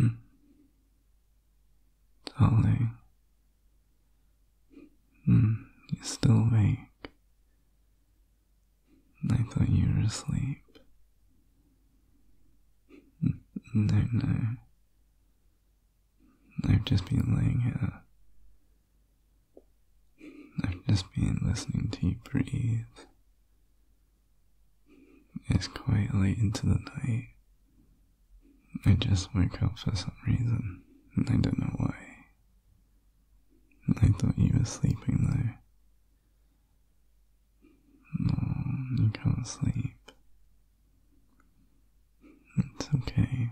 Mm. Darling, mm, you're still awake. I thought you were asleep. Hmm, no, no. I've just been laying here, I've just been listening to you breathe. It's quite late into the night. I just woke up for some reason, and I don't know why. I thought you were sleeping there. No, you can't sleep. It's okay.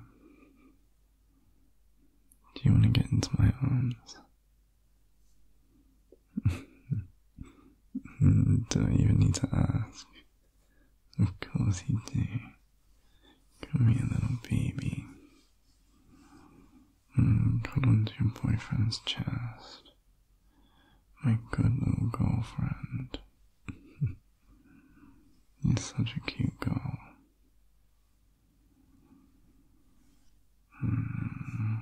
Do you want to get into my arms? Don't even need to ask. Of course you do. Come here, little baby. Mm, onto your boyfriend's chest. My good little girlfriend. You're such a cute girl. Hmm.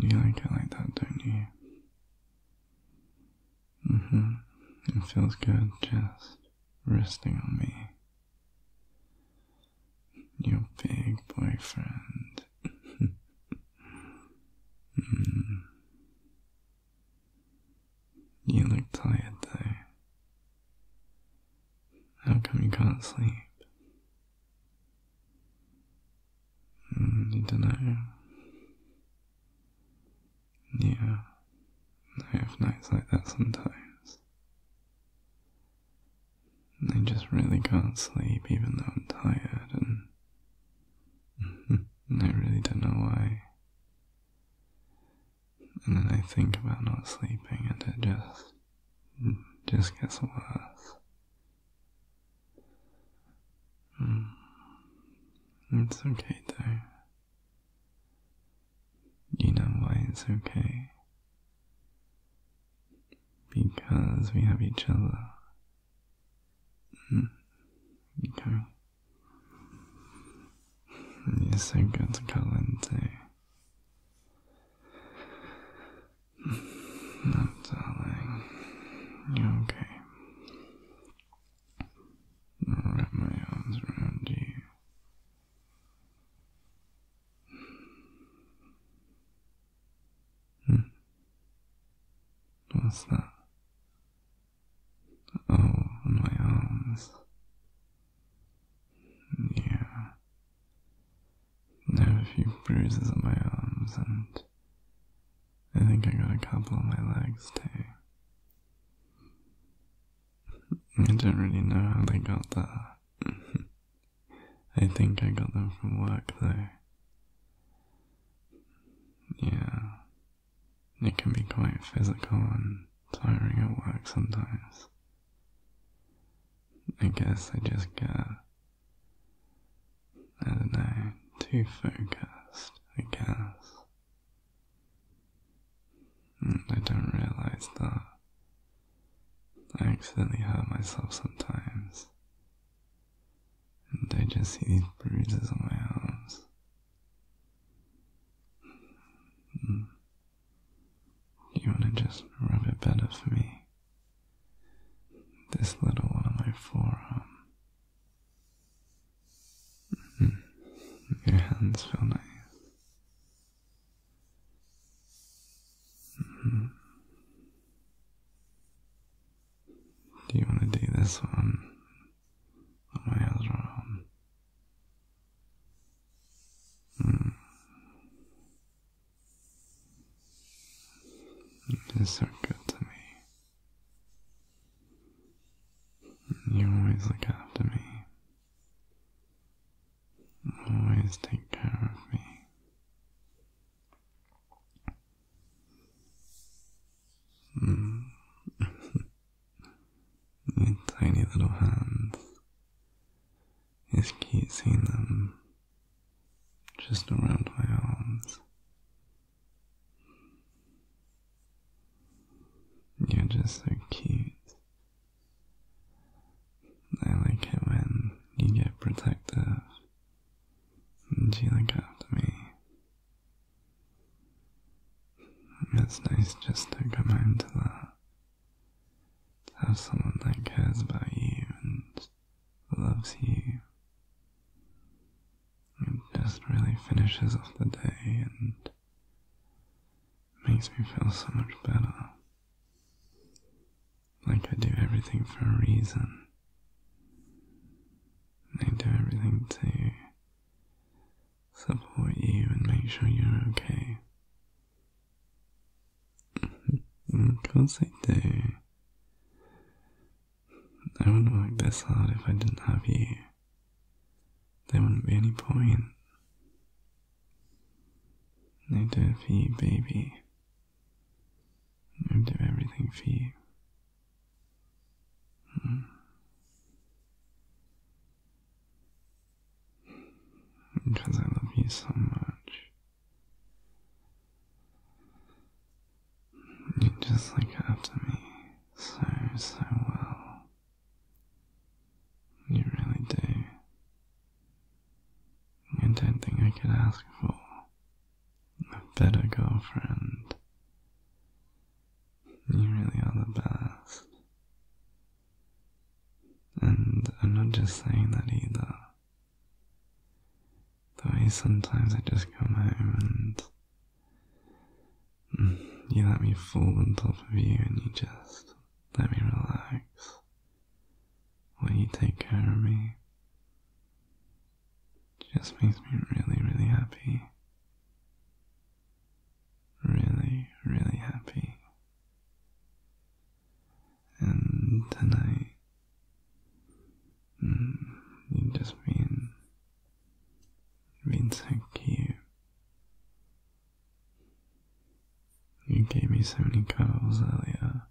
You like it like that, don't you? hmm. It feels good just resting on me. Your big boyfriend. Hmm. You look tired though. How come you can't sleep? Mm, don't know. Yeah, I have nights like that sometimes. I just really can't sleep even though I'm tired and I really don't know why and then I think about not sleeping and it just just gets worse. Hmm. It's okay though. You know why it's okay? Because we have each other. Hmm. Okay. Yes, I got Calente. No, darling. You okay? I'll wrap my arms around you. Hmm. What's that? Oh, my arms. Yeah. I have a few bruises on my arms, and I think I got a couple on my legs too. I don't really know how they got there. I think I got them from work though. Yeah, it can be quite physical and tiring at work sometimes. I guess I just get, I don't know, too focused, I guess. Mm, I don't realize that I accidentally hurt myself sometimes. And I just see these bruises on my arms. Hmm. you want to just rub it better for me? This little one on my forearm. Hmm. Your hands feel nice. Hmm. Do you want to do this one? Oh, my hands hmm. are on. Mm. It's good to me. You always look after me. Always take care of me. Mm. tiny little hands. It's cute them just around my arms. You're just so cute. I like it when you get protective Sheila got to me. It's nice just to come home to that. To have someone that cares about you and loves you. and just really finishes off the day and makes me feel so much better. Like I do everything for a reason. I do everything to support you and make sure you're okay. Mm-hmm. of course I do. I wouldn't work this hard if I didn't have you. There wouldn't be any point. I do it for you, baby. I'd do everything for you. Hmm. Because I love you so much. You just look after me so, so well. You really do. I don't think I could ask for a better girlfriend. You really are the best. And I'm not just saying that either. The way sometimes I just come home and you let me fall on top of you and you just let me relax when you take care of me just makes me really, really happy. Really, really happy. And tonight, mm, you just been, been so cute you gave me so many cuddles earlier,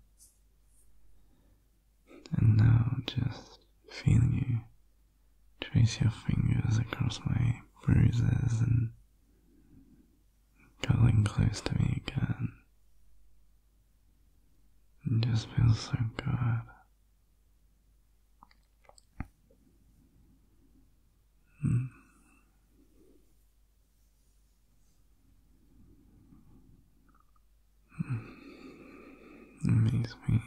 and now just feeling you trace your fingers across my bruises and cuddling close to me again. It just feels so good. It hmm. hmm. makes me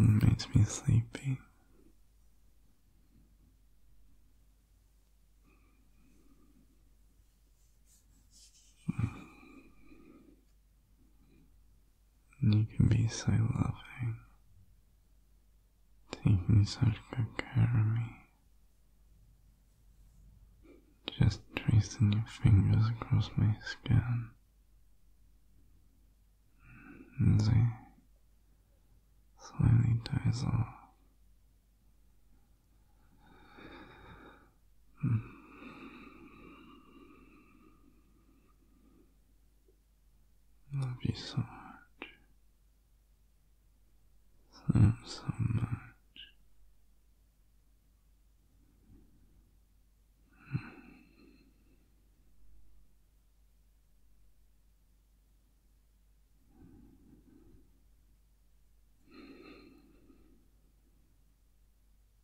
it makes me sleepy. Hmm. You can be so loving taking such good care of me. Just tracing your fingers across my skin as I slowly dies off. Love you so much. So, so much.